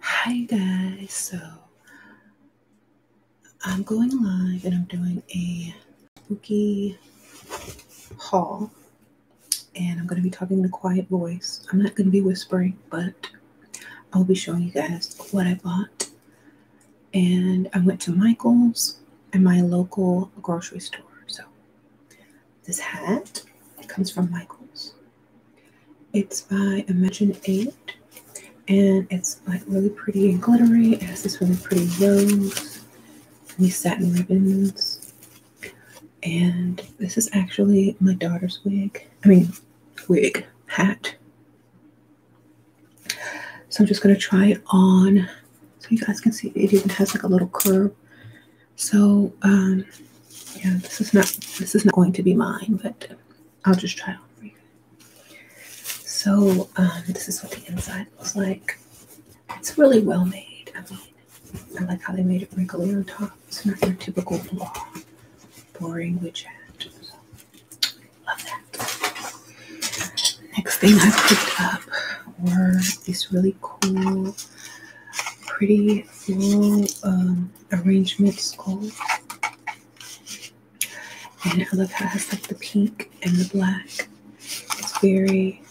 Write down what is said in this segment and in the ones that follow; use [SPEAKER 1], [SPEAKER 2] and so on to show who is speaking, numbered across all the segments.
[SPEAKER 1] Hi guys, so I'm going live and I'm doing a spooky haul and I'm going to be talking in a quiet voice. I'm not going to be whispering, but I'll be showing you guys what I bought. And I went to Michael's and my local grocery store. So this hat it comes from Michaels. It's by Imagine 8 and it's like really pretty and glittery. It has this really pretty rose these satin ribbons. And this is actually my daughter's wig. I mean, wig, hat. So I'm just going to try it on so you guys can see it even has like a little curve so um, yeah, this is not this is not going to be mine, but I'll just try it on for you. So um, this is what the inside looks like. It's really well made. I mean, I like how they made it wrinkly on top. It's not your typical boring widget. So, love that. Next thing I picked up were these really cool, pretty play through um, arrangement skull. And I love how it has like the pink and the black. It's very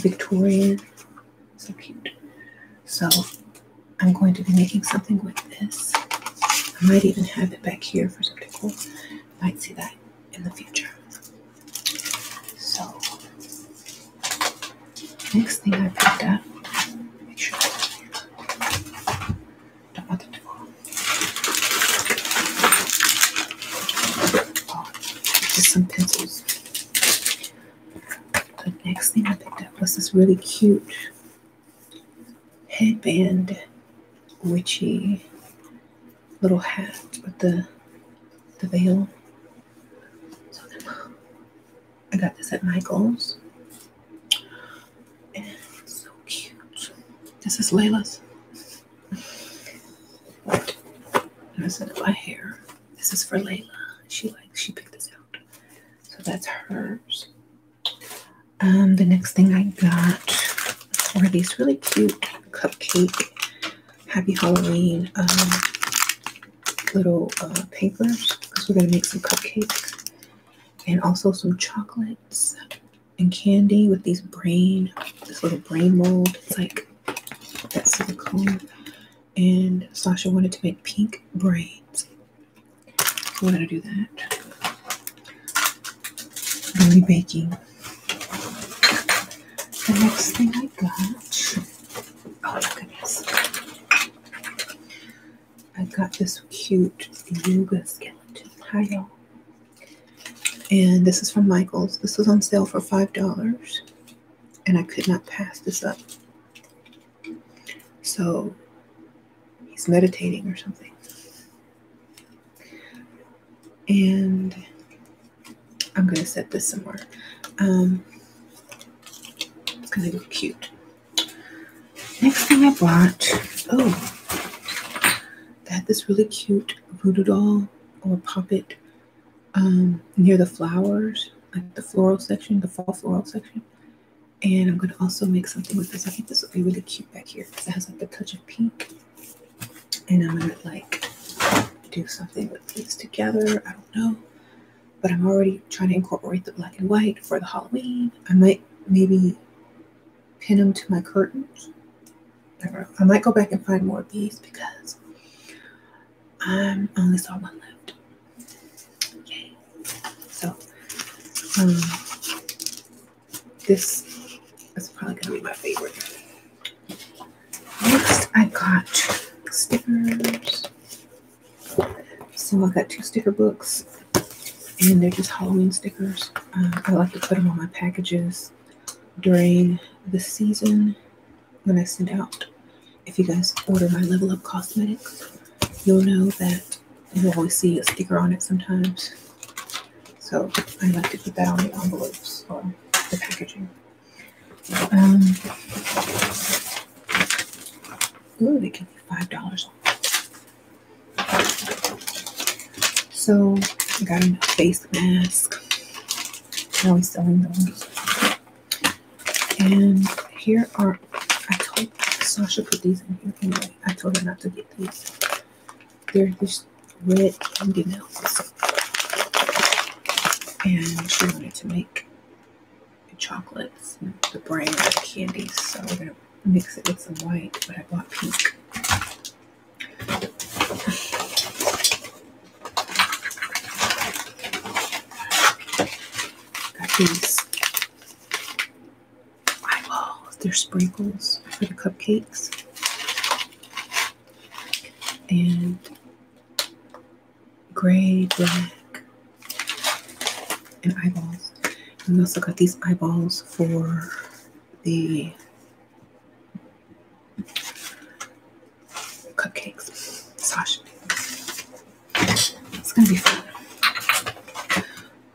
[SPEAKER 1] Victorian. So cute. So I'm going to be making something with this. I might even have it back here for some people. Might see that in the future. So, next thing I picked up, make sure top of the door. Oh, just some pencils. The next thing I picked up was this really cute headband witchy little hat with the the veil I got this at Michael's. it's so cute. This is Layla's. And I my hair. This is for Layla. She likes she picked this out. So that's hers. Um, the next thing I got were these really cute cupcake happy Halloween um, little uh, papers because we're going to make some cupcakes and also some chocolates and candy with these brain, this little brain mold. It's like that silicone. And Sasha wanted to make pink braids. So we're going to do that. We're going to be baking. The next thing I got, oh my goodness, I got this cute yoga skeleton. Hi, y'all. And this is from Michaels. This was on sale for $5, and I could not pass this up. So he's meditating or something. And I'm going to set this somewhere um, because it was cute. Next thing I bought, oh, I had this really cute voodoo doll or puppet um, near the flowers, like the floral section, the fall floral section. And I'm going to also make something with this. I think this will be really cute back here because it has like the touch of pink. And I'm going to like do something with these together do know. But I'm already trying to incorporate the black and white for the Halloween. I might maybe pin them to my curtains. I, might go back and find more of these because I'm only saw one left. Okay, So, um, this is probably going to be my favorite. Next, I got stickers. So I got two sticker books, and they're just Halloween stickers. Um, I like to put them on my packages during the season when I send out. If you guys order my Level Up Cosmetics, you'll know that you'll always see a sticker on it sometimes. So I like to put that on the envelopes or the packaging. Um, ooh, they give you five dollars off. So I got a face mask. Now always selling those. And here are I told Sasha put these in here anyway. I told her not to get these. They're just red candy melts. And she wanted to make chocolates, the brand of candy. So we're gonna mix it with some white, but I bought pink. Got these eyeballs. They're sprinkles for the cupcakes. And gray, black, and eyeballs. And we also got these eyeballs for the cupcakes, sashimi. It's gonna be fun.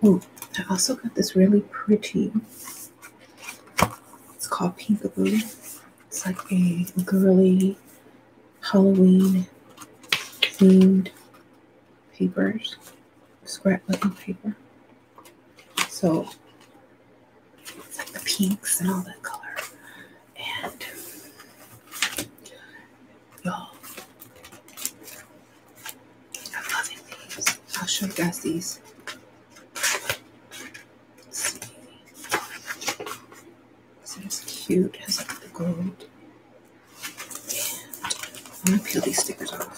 [SPEAKER 1] Oh, I also got this really pretty. It's called Pinkaboo. It's like a girly Halloween themed papers, scrapbooking paper. So it's like the pinks and all that color. And y'all, I'm loving these. I'll show you guys these. Let's see. So it's cute, as has the gold. I'm gonna peel these stickers off.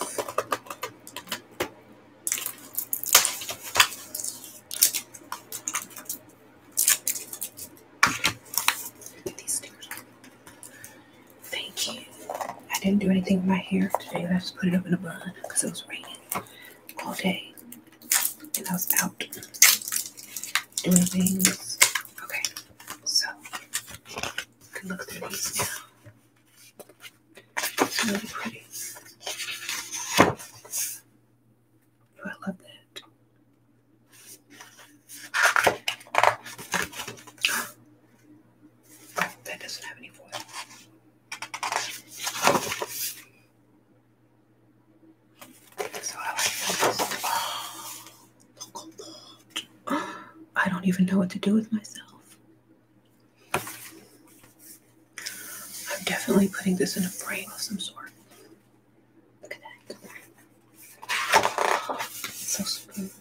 [SPEAKER 1] These stickers off. Thank you. I didn't do anything with my hair today. I just put it up in a bun because it was raining all day and I was out doing things. Okay, so you can look through these now. It's really pretty. Oh, I love that. that doesn't have any foil. I don't even know what to do with myself. I'm definitely putting this in a frame of some sort. so smooth.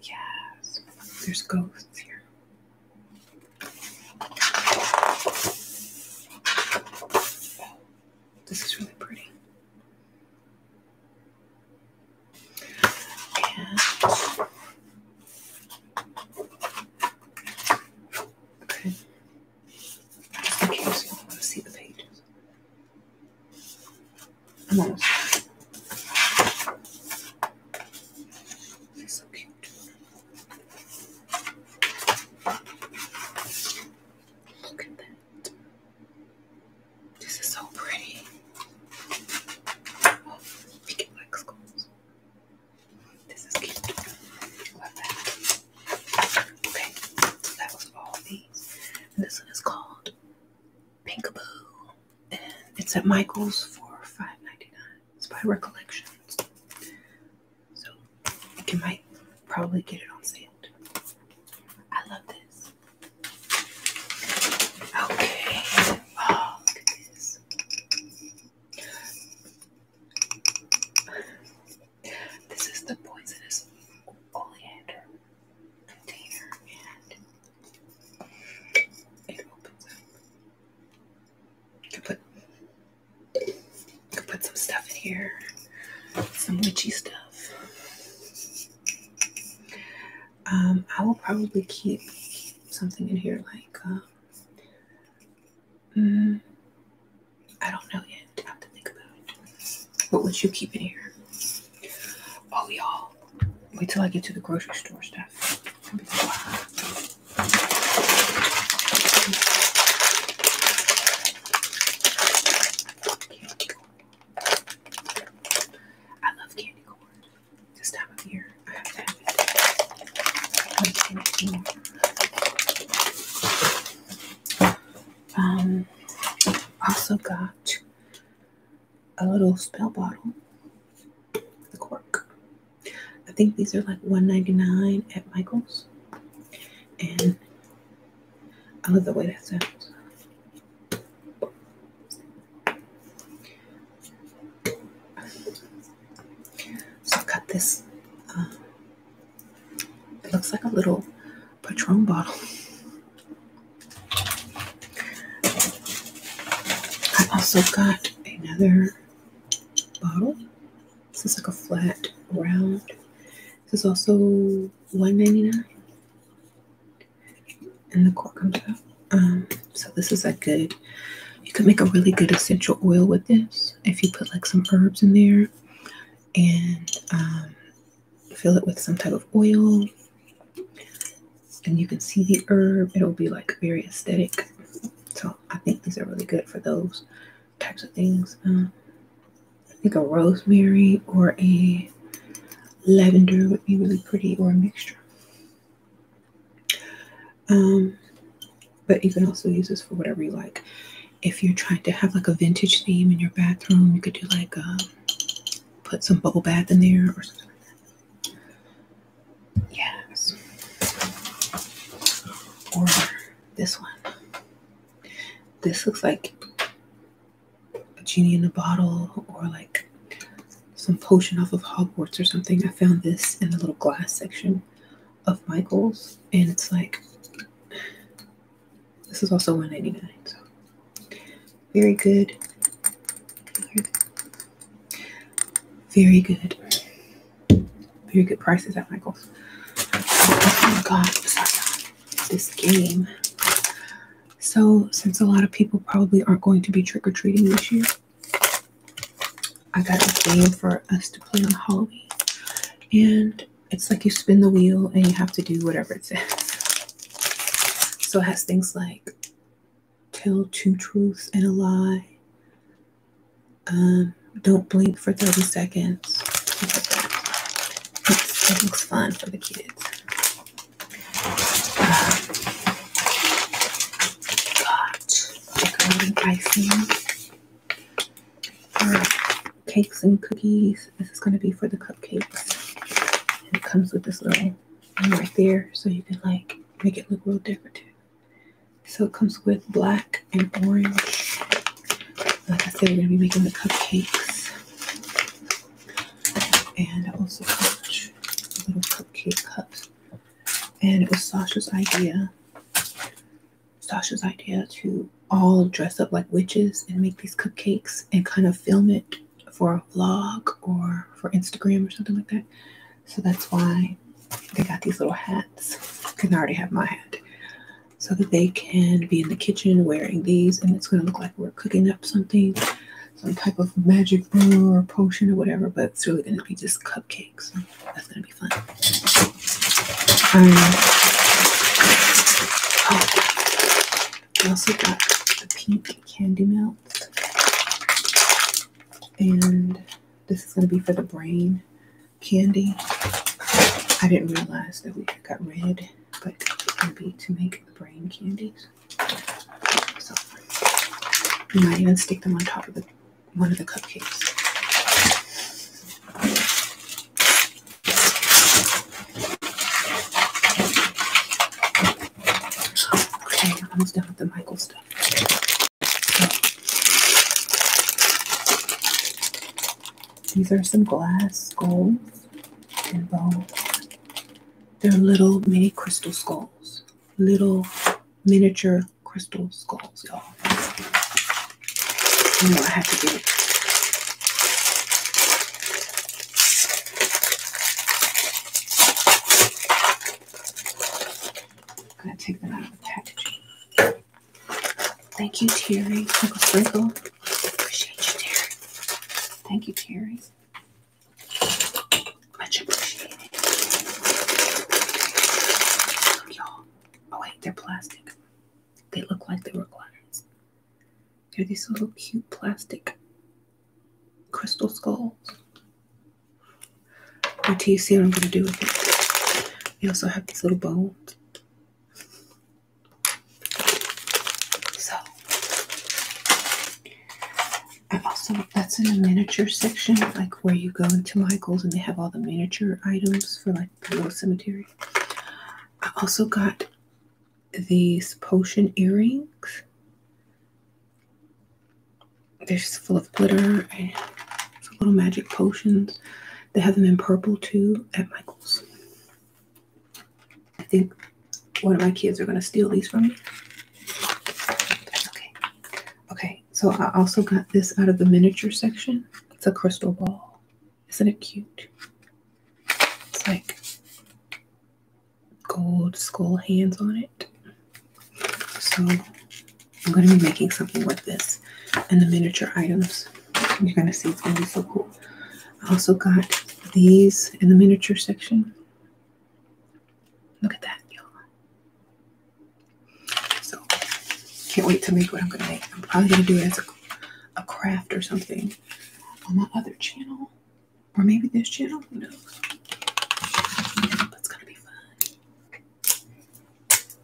[SPEAKER 1] Yes. There's ghosts here. This is really pretty. And okay. Just in want to see the pages. I'm He's so cute. Look at that. This is so pretty. Oh, we skulls. This is cute. Okay, that was all these. And this one is called Pinkaboo. It's at Michael's for $5.99. It's by Recollections. So you might probably get it on sale I love this. Okay. Oh, look at this. This is the poisonous oleander container and it opens up could put could put some stuff in here, some witchy stuff. Um, I will probably keep something in here like. Uh, mm, I don't know yet. have to think about it. What would you keep in here? Oh, y'all wait till I get to the grocery store stuff. I love candy corn. This time of year, Um, also got a little spell bottle, the cork. I think these are like $1.99 at Michael's. And I love the way that sounds. So I got this. Um, it looks like a little Patron bottle. I have also got another bottle. This is like a flat round. This is also one ninety nine, And the cork comes out. Um, so this is a good you could make a really good essential oil with this if you put like some herbs in there and um, fill it with some type of oil and you can see the herb. It'll be like very aesthetic. So I think these are really good for those types of things. Uh, I think a rosemary or a lavender would be really pretty or a mixture. Um, but you can also use this for whatever you like. If you're trying to have like a vintage theme in your bathroom, you could do like um, put some bubble bath in there or something like that. Yes. Or this one. This looks like a genie in a bottle or like some potion off of Hogwarts or something. I found this in the little glass section of Michael's and it's like this is also 199 so very good very good. Very good prices at Michael's. Oh my This game. So, since a lot of people probably aren't going to be trick or treating this year, I got a game for us to play on Halloween. And it's like you spin the wheel and you have to do whatever it says. So, it has things like tell two truths and a lie. Um, don't blink for 30 seconds. It's, looks fun for the kids. got decorating icing. Uh, cakes and cookies. This is going to be for the cupcakes. it comes with this little thing right there. So you can like make it look real decorative. So it comes with black and orange. Like I said, we're gonna be making the cupcakes. And I also got little cupcake cups. And it was Sasha's idea. Sasha's idea to all dress up like witches and make these cupcakes and kind of film it for a vlog or for Instagram or something like that. So that's why they got these little hats. Can I already have my hat. So that they can be in the kitchen wearing these and it's going to look like we're cooking up something, some type of magic brew or potion or whatever, but it's really going to be just cupcakes. that's going to be fun. Um, I oh, also got the pink candy melts. And this is going to be for the brain candy. I didn't realize that we got red, but it's going to be to make brain candies. So you might even stick them on top of one of the cupcakes. Okay, I'm almost done with the Michael stuff these are some glass skulls and bones. They're little mini crystal skulls. Little miniature crystal skulls, y'all. You I have to get it. I'm going to take them out of the packaging. Thank you, Terry. Uncle Sprinkle. Appreciate you, Terry. Thank you, Terry. Much appreciated. Look, y'all. Oh, wait, they're plastic. They look like they were glass. They're these little cute plastic crystal skulls. Wait till you see what I'm going to do with it. We also have these little bones. So, I also, that's in the miniature section, like where you go into Michael's and they have all the miniature items for like the little cemetery. I also got these potion earrings they're just full of glitter and little magic potions. They have them in purple too at Michael's. I think one of my kids are going to steal these from me. okay. Okay, so I also got this out of the miniature section. It's a crystal ball. Isn't it cute? It's like gold skull hands on it. So I'm going to be making something with this and the miniature items. You're going to see it's going to be so cool. I also got these in the miniature section. Look at that, you So can't wait to make what I'm going to make. I'm probably going to do it as a, a craft or something on my other channel. Or maybe this channel, who knows? That's gonna be fun.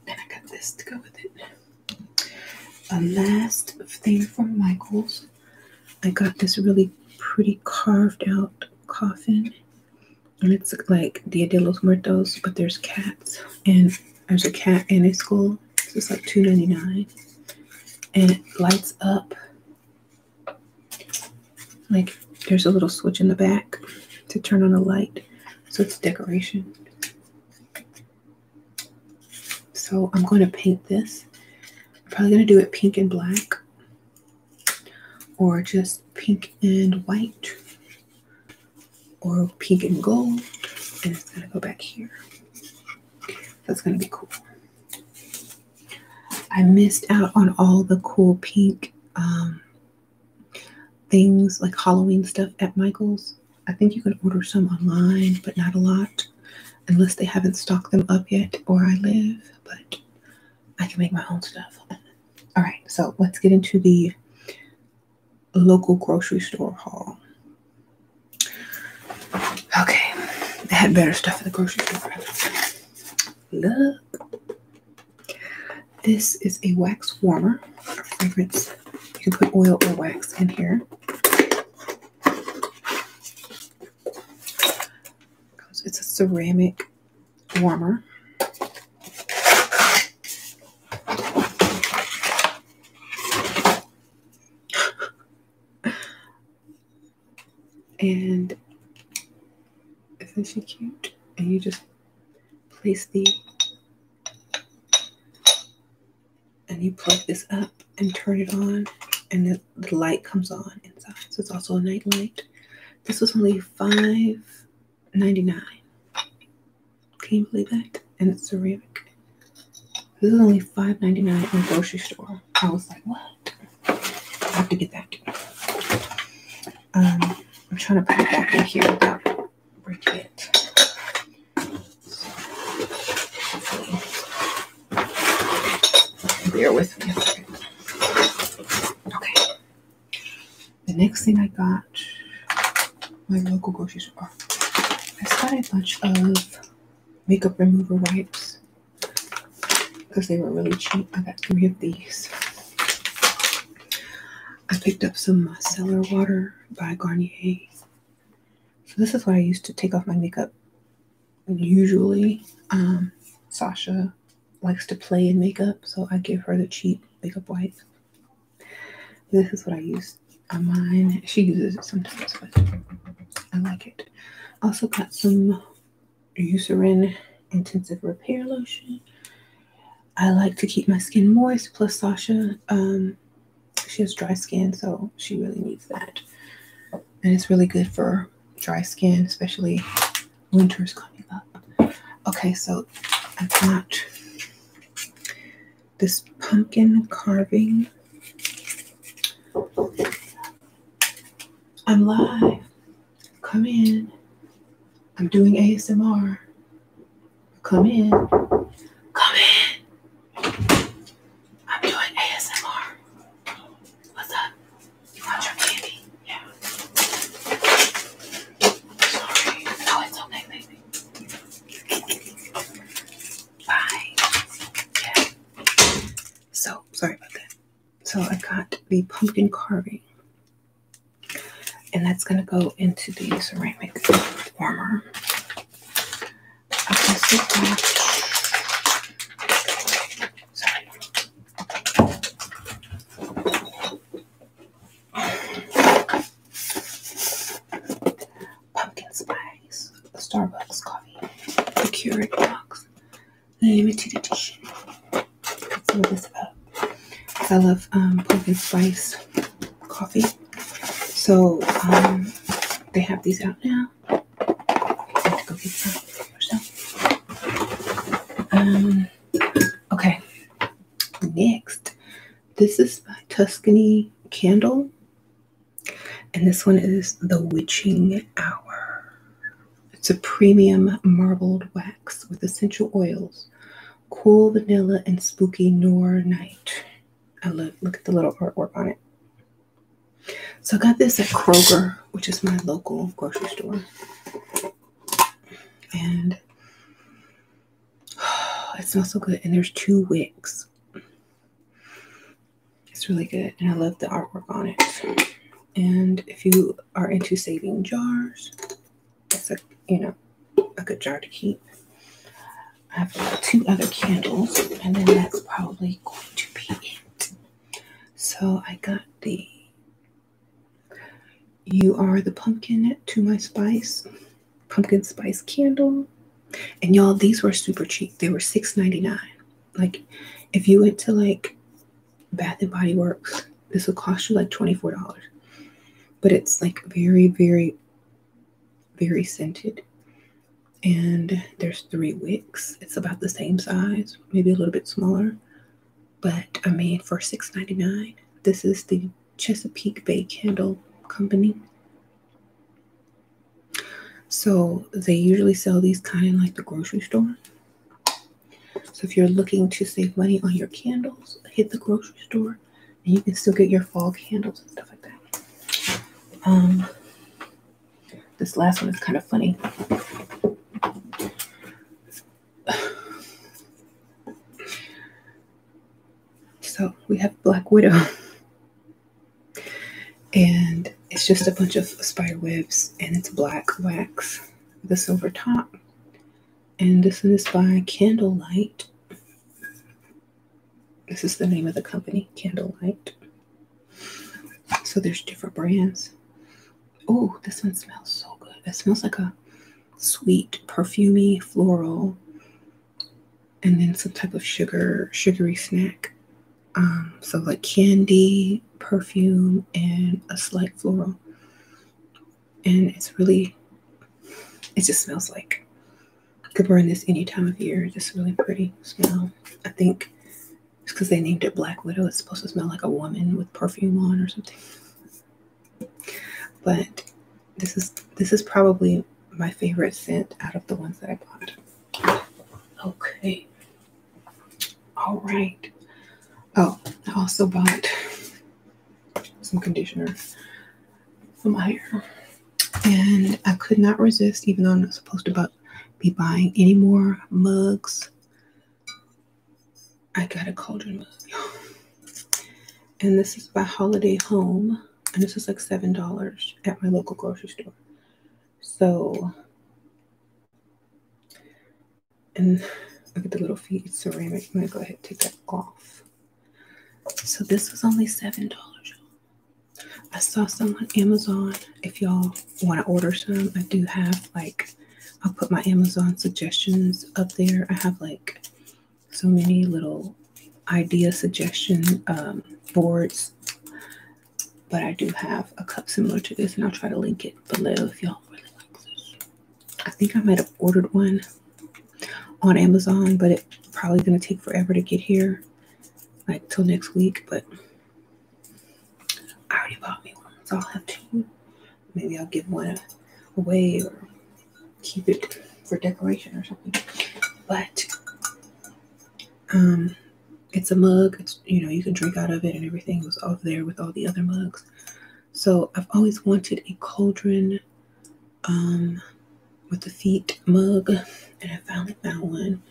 [SPEAKER 1] Then I got this to go with it. A last thing from Michaels. I got this really pretty carved out coffin. And it's like Dia de los Muertos, but there's cats. And there's a cat and a skull. So it's like two ninety-nine, And it lights up like there's a little switch in the back to turn on the light. So it's decoration. So I'm going to paint this. probably going to do it pink and black or just pink and white or pink and gold. And it's going to go back here. That's going to be cool. I missed out on all the cool pink um, things like Halloween stuff at Michael's. I think you can order some online, but not a lot unless they haven't stocked them up yet or I live, but I can make my own stuff. All right, so let's get into the local grocery store haul. Okay, they had better stuff at the grocery store. Look. This is a wax warmer, fragrance. You can put oil or wax in here. It's a ceramic warmer. And isn't she cute? And you just place the and you plug this up and turn it on and the, light comes on inside. So it's also a night light. This was only five ninety nine. Can you believe that? And it's ceramic. This is only five ninety nine in the grocery store. I was like, what? I have to get that. Um, I'm trying to put it back in here without breaking it. bear with me Okay. The next thing I got, my local grocery store. I got a bunch of makeup remover wipes because they were really cheap. I got three of these. I picked up some micellar water by Garnier. So this is what I used to take off my makeup. Usually, um, Sasha likes to play in makeup, so I give her the cheap makeup wipes. This is what I use on mine. She uses it sometimes, but I like it. Also got some Eucerin Intensive Repair Lotion. I like to keep my skin moist. Plus, Sasha, um, she has dry skin, so she really needs that. And it's really good for dry skin, especially winter's coming up. Okay, so I have got this pumpkin carving. I'm live. Come in. I'm doing ASMR. Come in. Come in. I'm doing ASMR. What's up? You want your candy? Yeah. Sorry. No, it's okay, baby. Bye. Yeah. So, sorry about that. So I got the pumpkin carving. And that's going to go into the ceramic warmer. Pumpkin spice, Starbucks coffee, Keurig box, limited edition. Let's move this up. Uh, I love um, pumpkin spice coffee. So um, they have these out now. Um, okay. Next, this is by Tuscany Candle. And this one is The Witching Hour. It's a premium marbled wax with essential oils, cool vanilla, and spooky noir night. I love, look at the little artwork on it. So I got this at Kroger, which is my local grocery store. And oh, it smells so good. And there's two wicks. It's really good. And I love the artwork on it. And if you are into saving jars, it's a you know a good jar to keep. I have two other candles, and then that's probably going to be it. So I got the You Are the Pumpkin to My Spice pumpkin spice candle. And y'all, these were super cheap. They were six ninety nine. Like if you went to like Bath and Body Works. This will cost you like $24. But it's like very, very, very scented. And there's three wicks. It's about the same size, maybe a little bit smaller. But I mean, for $6.99, this is the Chesapeake Bay Candle Company. So they usually sell these kind like the grocery store. So if you're looking to save money on your candles, hit the grocery store and you can still get your fall candles and stuff like that. Um, this last one is kind of funny. So we have Black Widow. And it's just a bunch of spider webs and it's black wax the silver top. And this is by Candlelight. This is the name of the company, Candlelight. So there's different brands. Oh, this one smells so good. It smells like a sweet, perfumy, floral, and then some type of sugar, sugary snack. Um, so like candy, perfume and a slight floral. And it's really, it just smells like could burn this any time of year. Just really pretty smell. I think it's because they named it Black Widow. It's supposed to smell like a woman with perfume on or something. But this is this is probably my favorite scent out of the ones that I bought. Okay, all right. Oh, I also bought some conditioner for my hair, And I could not resist, even though I'm not supposed to be buying any more mugs. I got a cauldron mug. And this is by Holiday Home. And this is like $7 at my local grocery store. So and look at the little feet, it's ceramic. I'm gonna go ahead take that off. So this was only $7. I saw some on Amazon. If y'all want to order some, I do have like, I'll put my Amazon suggestions up there. I have like so many little idea suggestion um, boards, but I do have a cup similar to this and I'll try to link it below if y'all really I think I might have ordered one on Amazon, but it probably gonna take forever to get here, like till next week. But I already bought me one, so I'll have two. Maybe I'll give one away or keep it for decoration or something. But um, it's a mug. you know you can drink out of it and everything. was off there with all the other mugs, so I've always wanted a cauldron um, with a feet mug, and I finally found one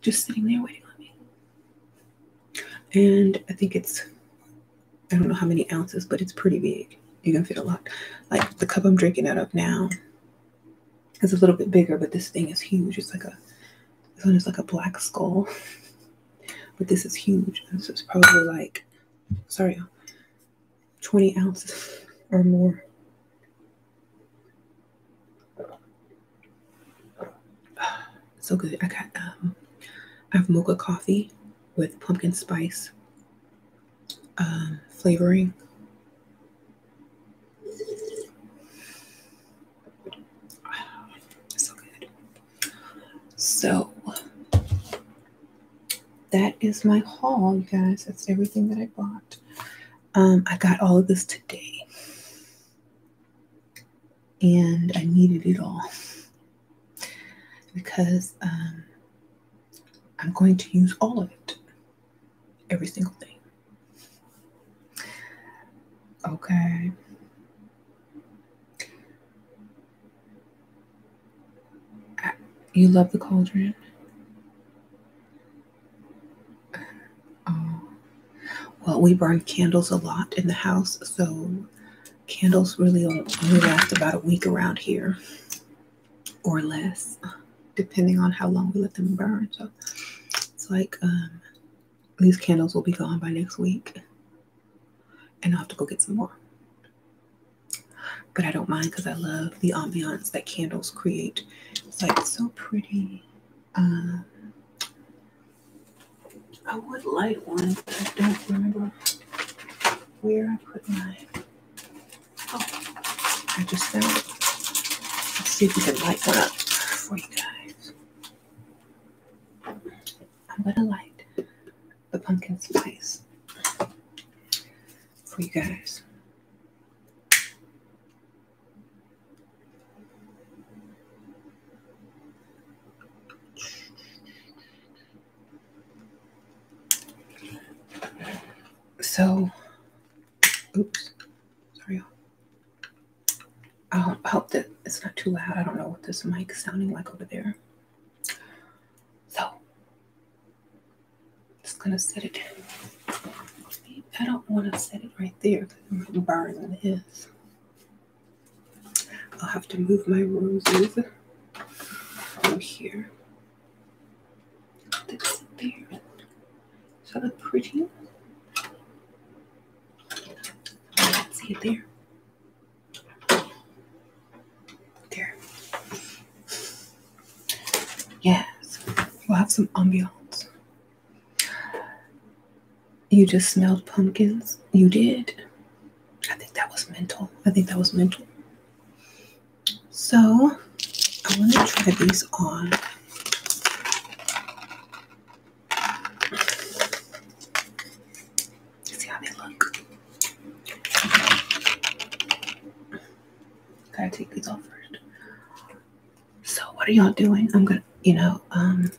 [SPEAKER 1] just sitting there waiting on me. And I think it's, I don't know how many ounces, but it's pretty big. You can fit a lot. Like the cup I'm drinking out of now is a little bit bigger, but this thing is huge. It's like a, its almost like a black skull. But this is huge. This is probably like, sorry, 20 ounces or more. So good. I got, um, I have mocha coffee with pumpkin spice um, flavoring. So good. So that is my haul, you guys. That's everything that I bought. Um, I got all of this today. And I needed it all because um, I'm going to use all of it. Every single thing. Okay. You love the cauldron? Oh. Well, we burn candles a lot in the house, so candles really only last about a week around here or less, depending on how long we let them burn. So it's like um, these candles will be gone by next week. And I'll have to go get some more. But I don't mind because I love the ambiance that candles create. It's like so pretty. Um, I would light one, but I don't remember where I put my. Oh, I just found it. Let's see if we can light one up for you guys. I'm gonna light the pumpkin spice for you guys. So, oops, sorry. I hope that it's not too loud. I don't know what this mic is sounding like over there. So, just gonna set it. I don't want to set it right there because it burn this. I'll have to move my roses from here. That's that pretty? See it there. There. Yes. We'll have some ambience. You just smelled pumpkins? You did. I think that was mental. I think that was mental. So I want to try these on. See how they look. Gotta take these off first. So what are y'all doing? I'm gonna, you know, um,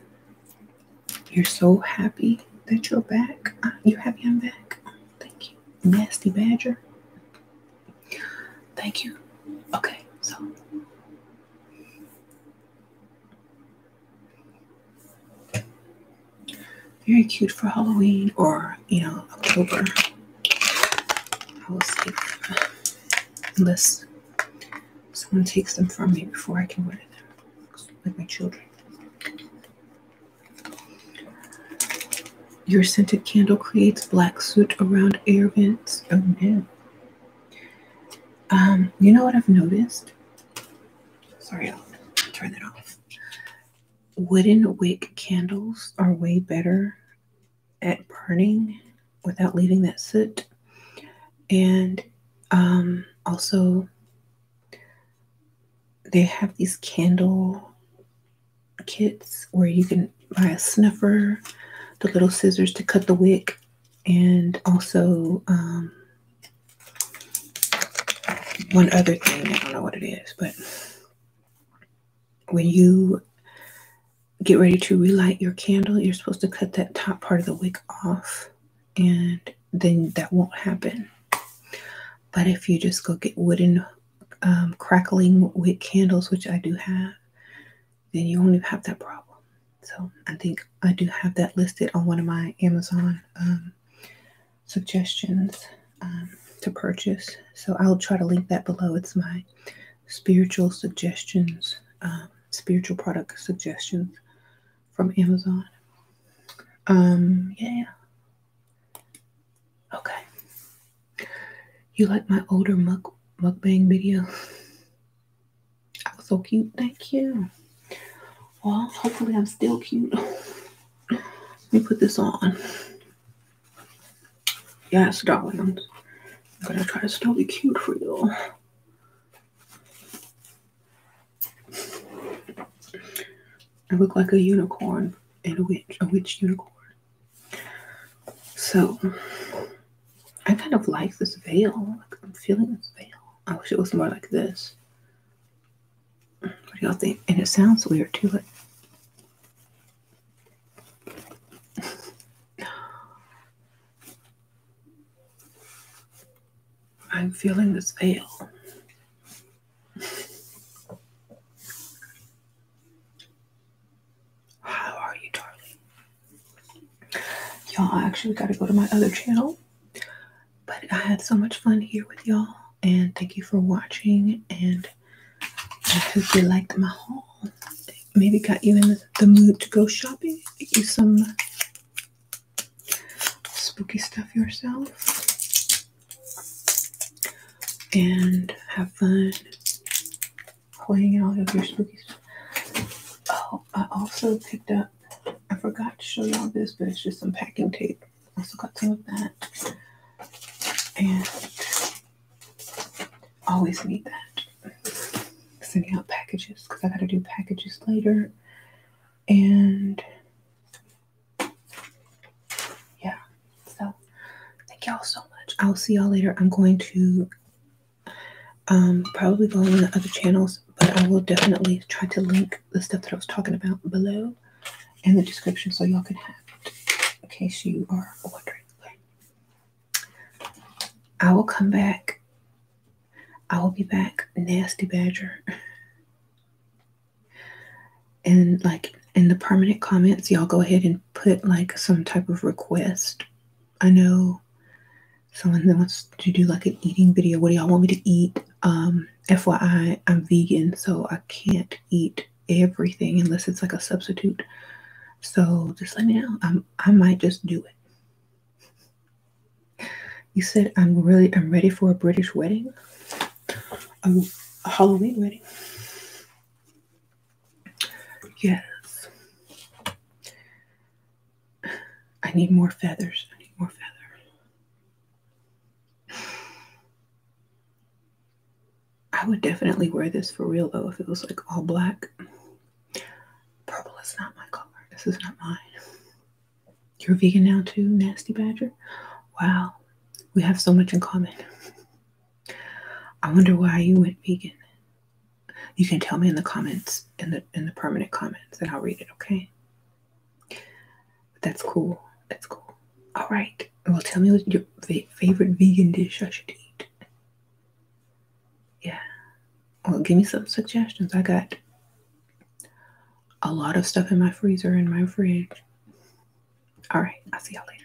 [SPEAKER 1] you're so happy that you're back. Uh, you happy I'm back? thank you, nasty badger. Thank you. Okay, so very cute for Halloween or, you know, October. I will save unless someone takes them from me before I can wear them with my children. Your scented candle creates black soot around air vents. Oh no. Um, you know what I've noticed? Sorry, I'll turn that off. Wooden wick candles are way better at burning without leaving that soot. And um, also, they have these candle kits where you can buy a snuffer, the little scissors to cut the wick, and also um, one other thing i don't know what it is but when you get ready to relight your candle you're supposed to cut that top part of the wick off and then that won't happen but if you just go get wooden um, crackling wick candles which i do have then you only have that problem so I think I do have that listed on one of my Amazon um, suggestions um, to purchase. So I'll try to link that below. It's my spiritual suggestions, um, spiritual product suggestions from Amazon. yeah. Okay. You like my older mug mukbang video? I was so cute. Thank you. Well, hopefully I'm still cute. Let me put this on. Yes, darling. I'm gonna try to still be cute for you. I look like a unicorn and a witch, a witch unicorn. So I kind of like this veil. I'm feeling this veil. I wish it was more like this. What do y'all think? And it sounds weird to it. I'm feeling this veil. How are you, darling? Y'all, I actually got to go to my other channel. But I had so much fun here with y'all. And thank you for watching. And I hope you liked my haul. Maybe got you in the mood to go shopping. Get you some spooky stuff yourself. And have fun playing out of your spooky stuff. Oh, I also picked up I forgot to show y'all this, but it's just some packing tape. I also got some of that. And always need that. Sending out packages because I got to do packages later. And yeah, so thank y'all so much. I'll see y'all later. I'm going to um, probably go on the other channels, but I will definitely try to link the stuff that I was talking about below in the description so y'all can have it in case you are wondering. I will come back. I will be back, nasty badger. and like in the permanent comments, y'all go ahead and put like some type of request. I know someone wants to do like an eating video what do y'all want me to eat um fyi i'm vegan so i can't eat everything unless it's like a substitute so just let me know i i might just do it you said i'm really i'm ready for a british wedding a, a halloween wedding yes I need more feathers. I need more feathers. I would definitely wear this for real though if it was like all black. Purple is not my color. This is not mine. You're vegan now too, Nasty Badger? Wow, we have so much in common. I wonder why you went vegan. You can tell me in the comments in the in the permanent comments and I'll read it, okay? That's cool. That's cool. All right. Well, tell me what your favorite vegan dish I should eat. Yeah. Well, give me some suggestions. I got a lot of stuff in my freezer and my fridge. All right. I'll see y'all later.